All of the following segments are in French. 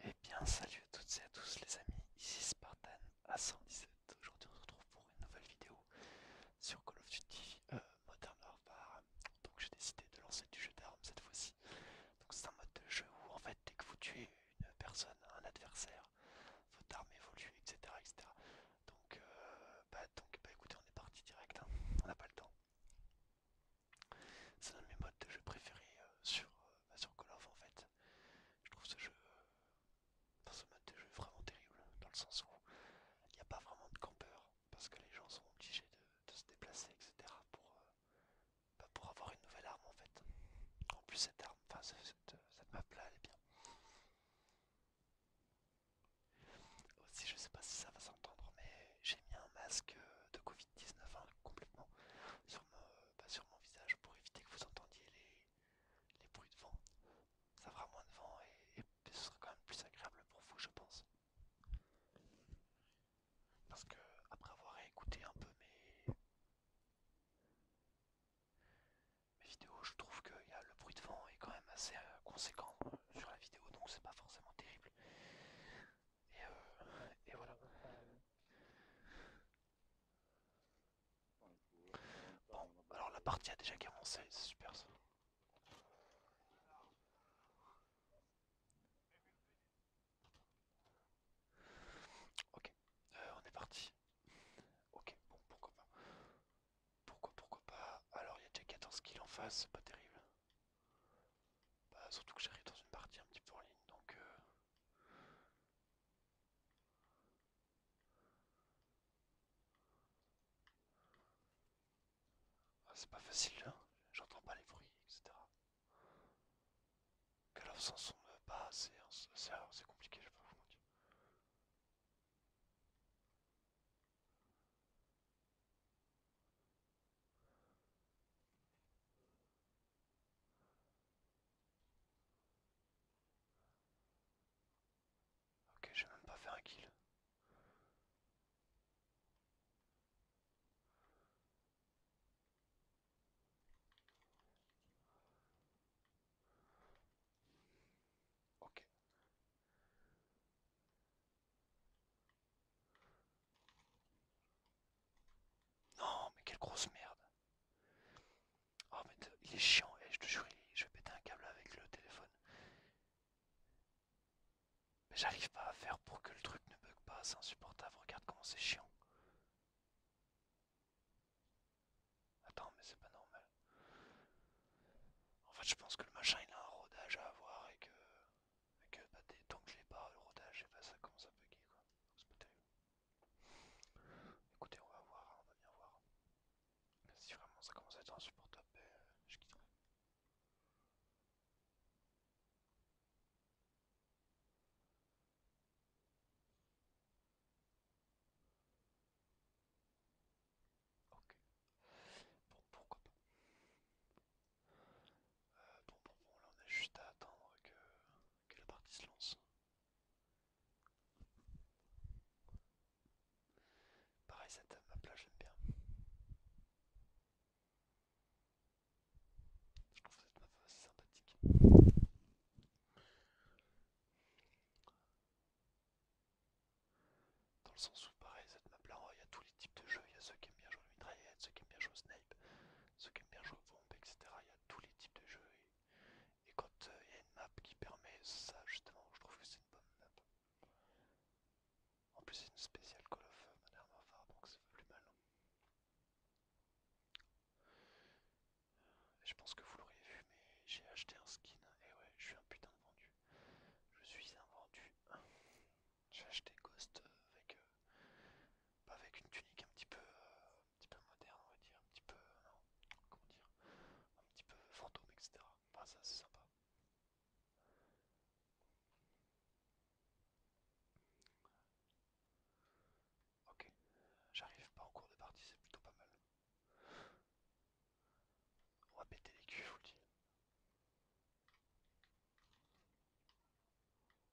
Et eh bien salut à toutes et à tous les amis, ici Spartan à 117 Aujourd'hui on se retrouve pour une nouvelle vidéo sur Call of Duty euh, Modern Warfare. Donc j'ai décidé de lancer du jeu d'armes cette fois-ci. Donc c'est un mode de jeu où en fait dès que vous tuez une personne, un adversaire, votre arme évolue, etc. etc. Euh, bah, donc, bah, donc écoutez on est parti direct, hein. on n'a pas le temps. C'est un de mes modes de jeu préférés euh, euh, bah, sur, Call of en fait. Je trouve ce jeu, euh, ce mode de vraiment terrible, dans le sens où il n'y a pas vraiment de campeur parce que les gens sont obligés de, se déplacer, etc. Pour, bah, pour avoir une nouvelle arme en fait. En plus cette arme, enfin cette map là, elle est bien. Aussi je sais pas si ça va s'entendre mais j'ai mis un masque euh, de Covid-19 hein, complètement euh, bah, sur mon, visage pour éviter que vous entendiez les, bruits de vent. Ça fera moins de vent et, ce sera quand même plus agréable pour vous, je pense. Parce que, après avoir écouté un peu mes, vidéos, je trouve que le bruit de vent est quand même assez euh, conséquent sur la vidéo, donc c'est pas forcément terrible. Et, et voilà. Bon, alors la partie a déjà commencé, c'est super ça. Ok, euh, on est parti. Ok, bon, pourquoi pas. Pourquoi, pourquoi pas. Alors, il y a déjà 14 kills en face, c'est pas terrible. Bah, surtout que j'arrive dans une partie un petit peu en ligne, donc... Euh... Ah, c'est pas facile, hein j'entends pas les bruits, etc. Que alors sans son pas, euh, bah, c'est c'est compliqué, je peux pas Ok, j'ai même pas fait un kill. Ok. Non, mais quelle grosse merde. Oh, mais il est chiant, et eh, je te jure, je vais péter un câble avec le téléphone. Mais j'arrive pas à faire pour que le truc ne bug pas, c'est insupportable. Regarde comment c'est chiant. Attends, mais c'est pas normal. En fait, je pense que le machin il a un rodage à avoir et que. Et que bah, tant que je l'ai pas, le rodage, et pas bah, ça commence à bugger quoi. Écoutez, on va voir, on va bien voir. Si vraiment ça commence à être insupportable, ben, je quitterai. Ok. Bon, pourquoi pas. Euh, bon, bon, bon, là on a juste à attendre que que la partie se lance. Pareil, cette map-là, j'aime bien. Je trouve cette map assez sympathique. Dans le sens où, pareil, cette map-là, il y a tous les types de jeux. Il y a ceux qui aiment bien jouer à ceux qui aiment bien jouer au Snake ceux qui aiment bien jouer au etc. Il y a tous les types de jeux et, quand euh, il y a une map qui permet ça justement, je trouve que c'est une bonne map. En plus c'est une spéciale Call of euh, Modern donc ça fait plus mal. Hein. je pense que vous l'auriez vu mais j'ai acheté un skin et ouais je suis un putain de vendu. Je suis un vendu. J'ai acheté Ghost euh, avec avec une tunique euh, un petit peu, moderne, on va dire, un petit peu, euh, comment dire, un petit peu fantôme, etc. Enfin, ça, c'est sympa. Ok, j'arrive pas au cours de partie, c'est plutôt pas mal. On va péter les culs, je vous le dis.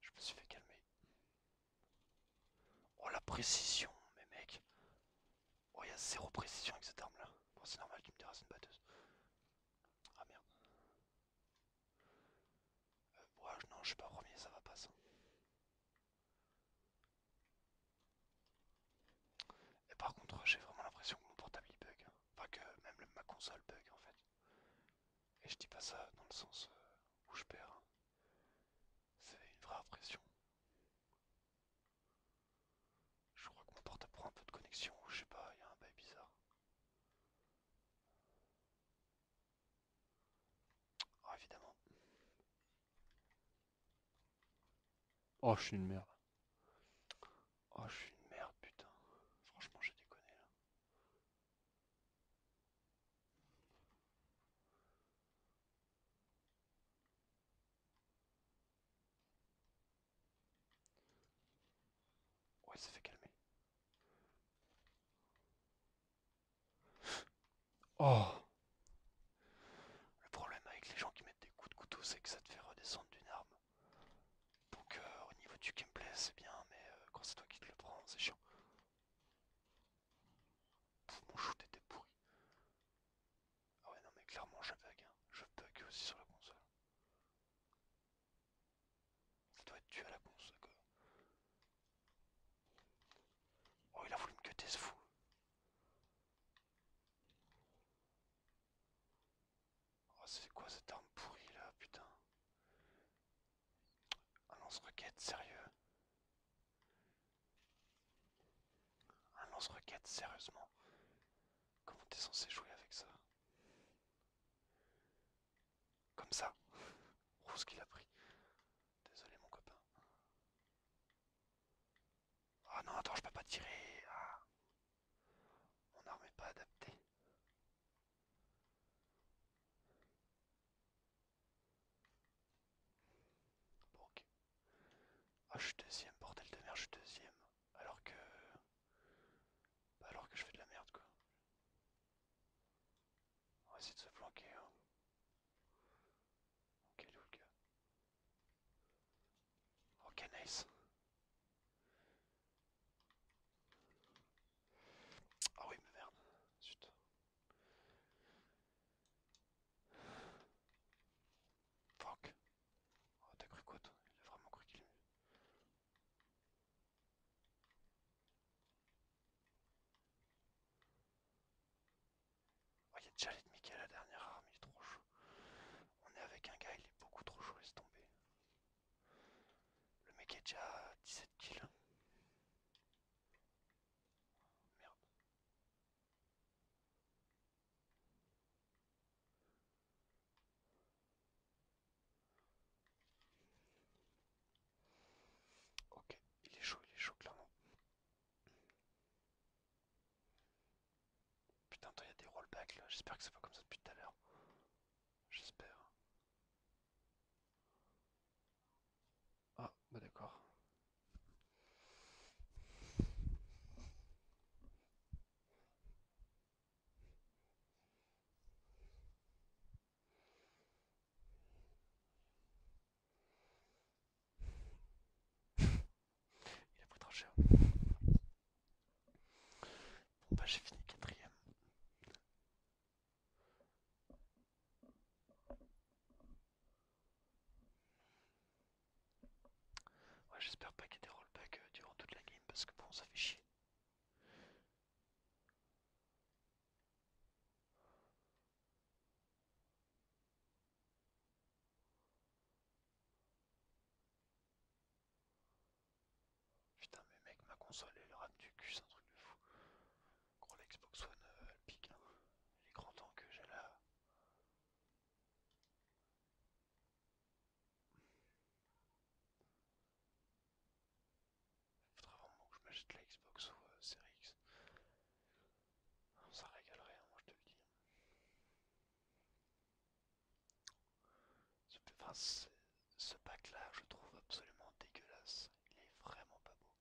Je me suis fait calmer. Oh la précision, mais mec. Oh, il y a zéro précision avec cette arme là. Bon, c'est normal, tu me diras, une batteuse. Ah merde. Euh, ouais, non, je suis pas premier, ça va pas ça. Et par contre, j'ai vraiment l'impression que mon portable il bug. Hein. Enfin, que même ma console bug en fait. Et je dis pas ça dans le sens euh, où je perds. Hein. C'est une vraie impression. Je crois que mon portable prend un peu de connexion, ou je sais pas, il y a un bail bizarre. Oh, évidemment. Oh, je suis une merde. Oh, je suis une merde, putain. Franchement, j'ai déconné là. Ouais, ça fait calmer. Oh Le problème avec les gens qui mettent des coups de couteau, c'est que ça te fait redescendre d'une arme. Donc euh, au niveau du gameplay, c'est bien, mais euh, quand c'est toi qui te le prends, c'est chiant mon shoot était pourri. Ah ouais non mais clairement je bug, hein. je bug aussi sur la console. Ça doit être tué à la console quoi. Oh il a voulu me cutter ce fou. Oh c'est quoi cette arme pourrie là putain un lance requête, sérieux Un lance requête, sérieusement Comment t'es censé jouer avec ça Comme ça Oh ce qu'il a pris Désolé mon copain. Ah oh non, attends, je peux pas tirer ah. Mon arme est pas adaptée ok. Ah, je suis deuxième, bordel de merde, je suis deuxième. Alors que. Bah, alors que je fais de la merde, quoi. On va essayer de se planquer, hein. Ok, le Ok, nice. Ah oui, mais merde. Zut. Fuck. Oh, t'as cru quoi, Il a vraiment cru qu'il Oh, il y a déjà l'ennemi qui la dernière arme, il est trop chaud. On est avec un gars, il est beaucoup trop chaud, est tomber. Le mec est déjà à 17 kills. Merde. Ok, il est chaud, il est chaud clairement. Putain, il y a des rollbacks là, j'espère que c'est pas comme ça depuis tout à l'heure. J'espère. Ah, bah d'accord. Il a pris trop cher. Bon bah j'ai fini quatrième. Ouais, j'espère pas qu'il y ait des rollbacks euh, durant toute la game parce que bon, ça fait chier. Putain mais mec ma console elle rame du cul c'est un truc de fou Gros, l'Xbox One, euh, hein. les grands temps que j'ai la. Faudra vraiment que je m'achète l'Xbox Xbox ou euh, Series X. Ça régalerait, rien, je te le dis. ce pack là, je trouve absolument dégueulasse. Il est vraiment pas beau.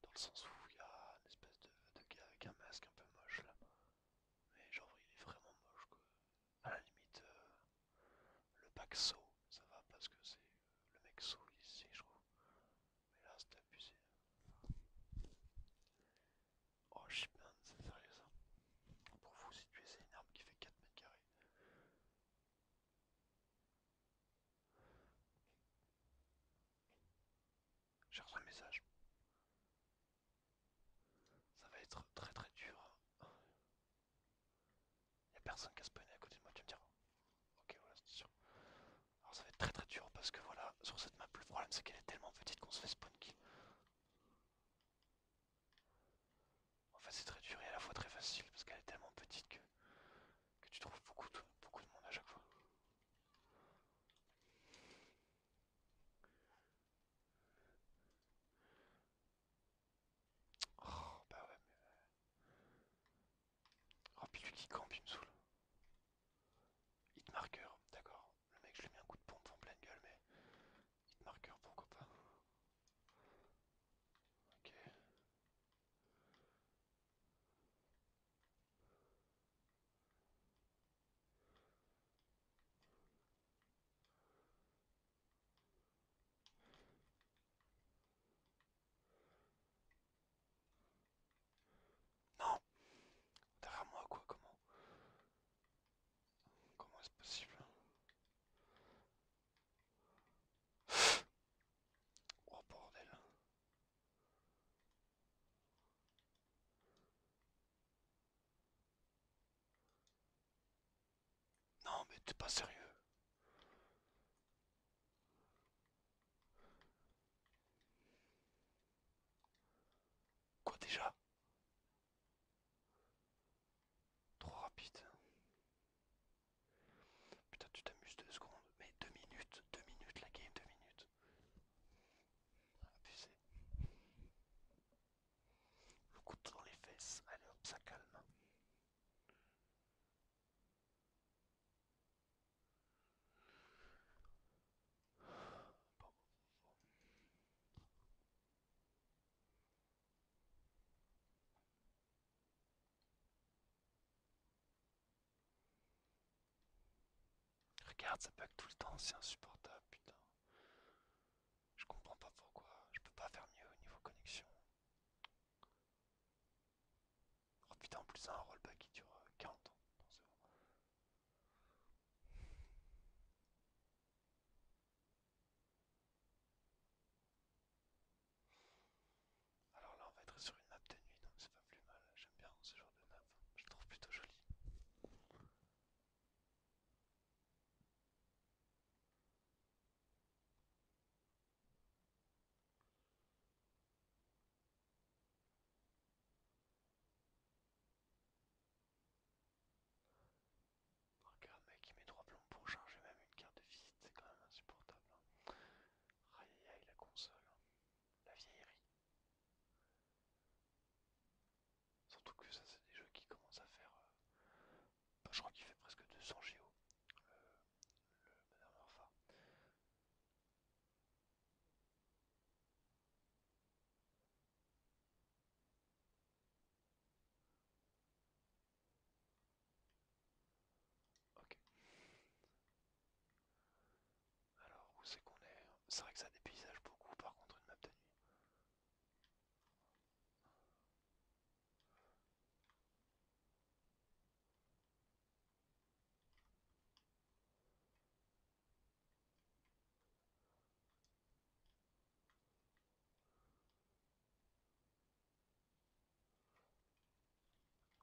Dans le sens où il y a une espèce de, gars avec un masque un peu moche là. Mais genre il est vraiment moche quoi. À la limite, euh, le pack saut, ça va parce que c'est le mec saut ici, je trouve. Mais là c'est abusé. Oh shipman, c'est sérieux ça Pour vous situer, c'est une arme qui fait 4 mètres carrés. J'ai reçu un message. Ça va être très très dur. il a personne qui a spawné à côté de moi, tu me diras. Ok, voilà, c'est sûr. Alors ça va être très très dur parce que voilà, sur cette map, le problème c'est qu'elle est tellement petite qu'on se fait spawn kill. En fait, c'est très dur et à la fois très facile parce qu'elle est tellement petite que que tu trouves beaucoup de, beaucoup de monde à chaque fois. Oh bah ouais mais... Euh. Oh qui campe, il me saoule. Hitmarker, d'accord. Le mec je lui mets un coup de pompe en pleine gueule mais... Hitmarker pourquoi pas. Ok. Non Derrière moi quoi Comment Comment est-ce possible Oh bordel. Non mais t'es pas sérieux. Quoi déjà Trop rapide. Putain, tu t'amuses deux secondes, mais deux minutes, deux minutes la game, deux minutes. Abusé. Le de dans les fesses, allez hop, ça calme. Regarde, ça bug tout le temps, c'est insupportable, putain. Je comprends pas pourquoi, je peux pas faire mieux au niveau connexion. Oh putain, en plus un rollback qui dure 40 euh, ans. Alors là on va être sur une map de nuit, donc c'est pas plus mal, j'aime bien ce genre de map, je le trouve plutôt joli. Regarde mec, il met trois plombs pour charger même une carte de visite, c'est quand même insupportable. Hein. Aïe aïe la console, hein. la vieillerie. Surtout que ça c'est des jeux qui commencent à faire... Euh, je crois qu'il fait presque 200 GO euh, le, Madame Ok. Alors, où c'est qu'on est C'est vrai que ça dépaysage beaucoup par contre une map de nuit.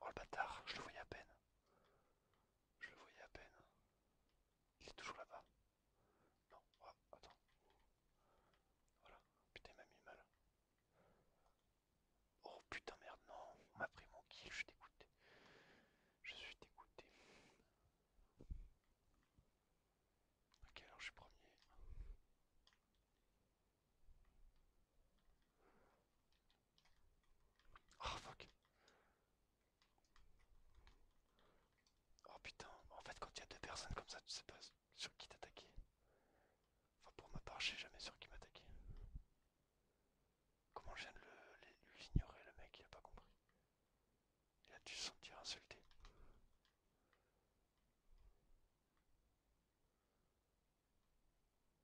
Oh le bâtard, je le voyais à peine. Je le voyais à peine. Il est toujours là-bas. Non, oh, attends. Voilà, putain, il m'a mis mal. Oh putain, merde, non, on m'a pris mon kill, je suis dégoûté. Je suis dégoûté. Ok, alors je suis premier. Oh, oh putain, en fait quand il y a deux personnes comme ça, tu sais pas sur qui t'attaquer. Enfin pour ma part, je sais jamais sur qui m'attaquer. Comment je viens de l'ignorer le, mec, il a pas compris. Il a dû se sentir insulté.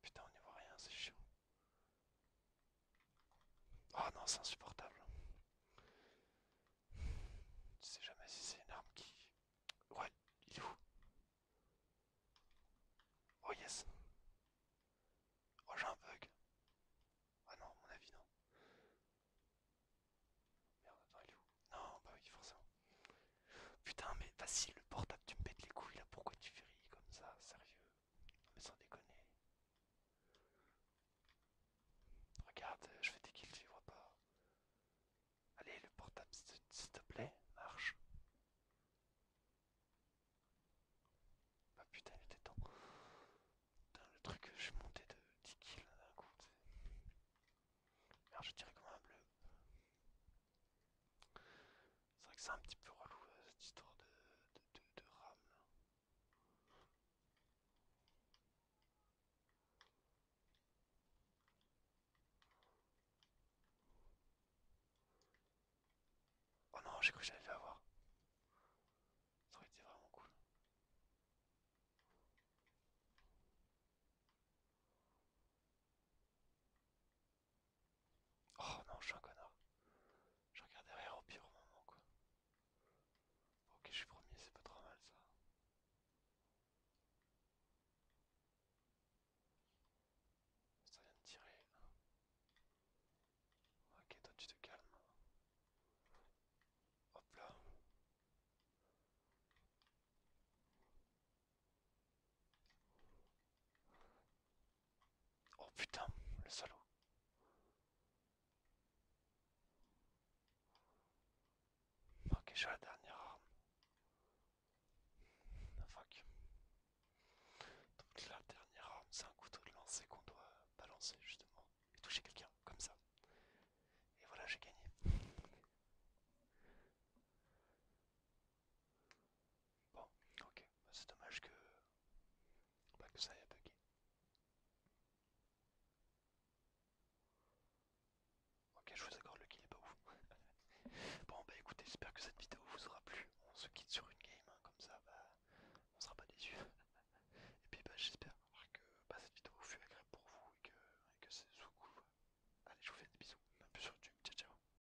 Putain, on n'y voit rien, c'est chiant. Oh non, c'est insupportable. Tu sais jamais si c'est une arme qui... Ouais, il est où Oh yes Oh j'ai un bug Ah non, à mon avis non. Merde, attends, il est où Non, pas bah oui, forcément. Putain, mais facile, le portable, tu me pètes les couilles là, pourquoi tu rire comme ça, sérieux mais sans déconner. Regarde, je fais des kills, tu vois pas. Allez, le portable, s'il te plaît, marche. ah putain, il était temps. Putain, le truc, je suis monté de 10 kills d'un coup. Alors je tirais comme un bleu. C'est vrai que c'est un petit peu relou euh, cette histoire de, de, RAM là. Oh non, j'ai cru que j'allais fait avoir. Ça aurait été vraiment cool. Oh non, je suis un connard. Je regarde derrière au pire moment quoi. Ok, je suis premier, c'est pas trop mal ça. Ça vient de tirer. Ok, toi tu te calmes. Hop là. Oh putain, le salaud. Ok, j'ai la dernière arme. Ah, fuck. Donc la dernière arme, c'est un couteau de lancer qu'on doit balancer justement et toucher quelqu'un comme ça. Et voilà, j'ai gagné. Bon, ok, bah, c'est dommage que... pas bah, que ça ait bugué. Ok, je vous accorde le kill est pas ouf. bon, bah écoutez, j'espère que cette vidéo vous aura plu. On se quitte sur une game, hein, comme ça, bah, on sera pas déçus. et puis, bah, j'espère que bah, cette vidéo vous fut agréable pour vous et que, c'est sous coup. Allez, je vous fais des bisous, même plus sur YouTube. Ciao, ciao.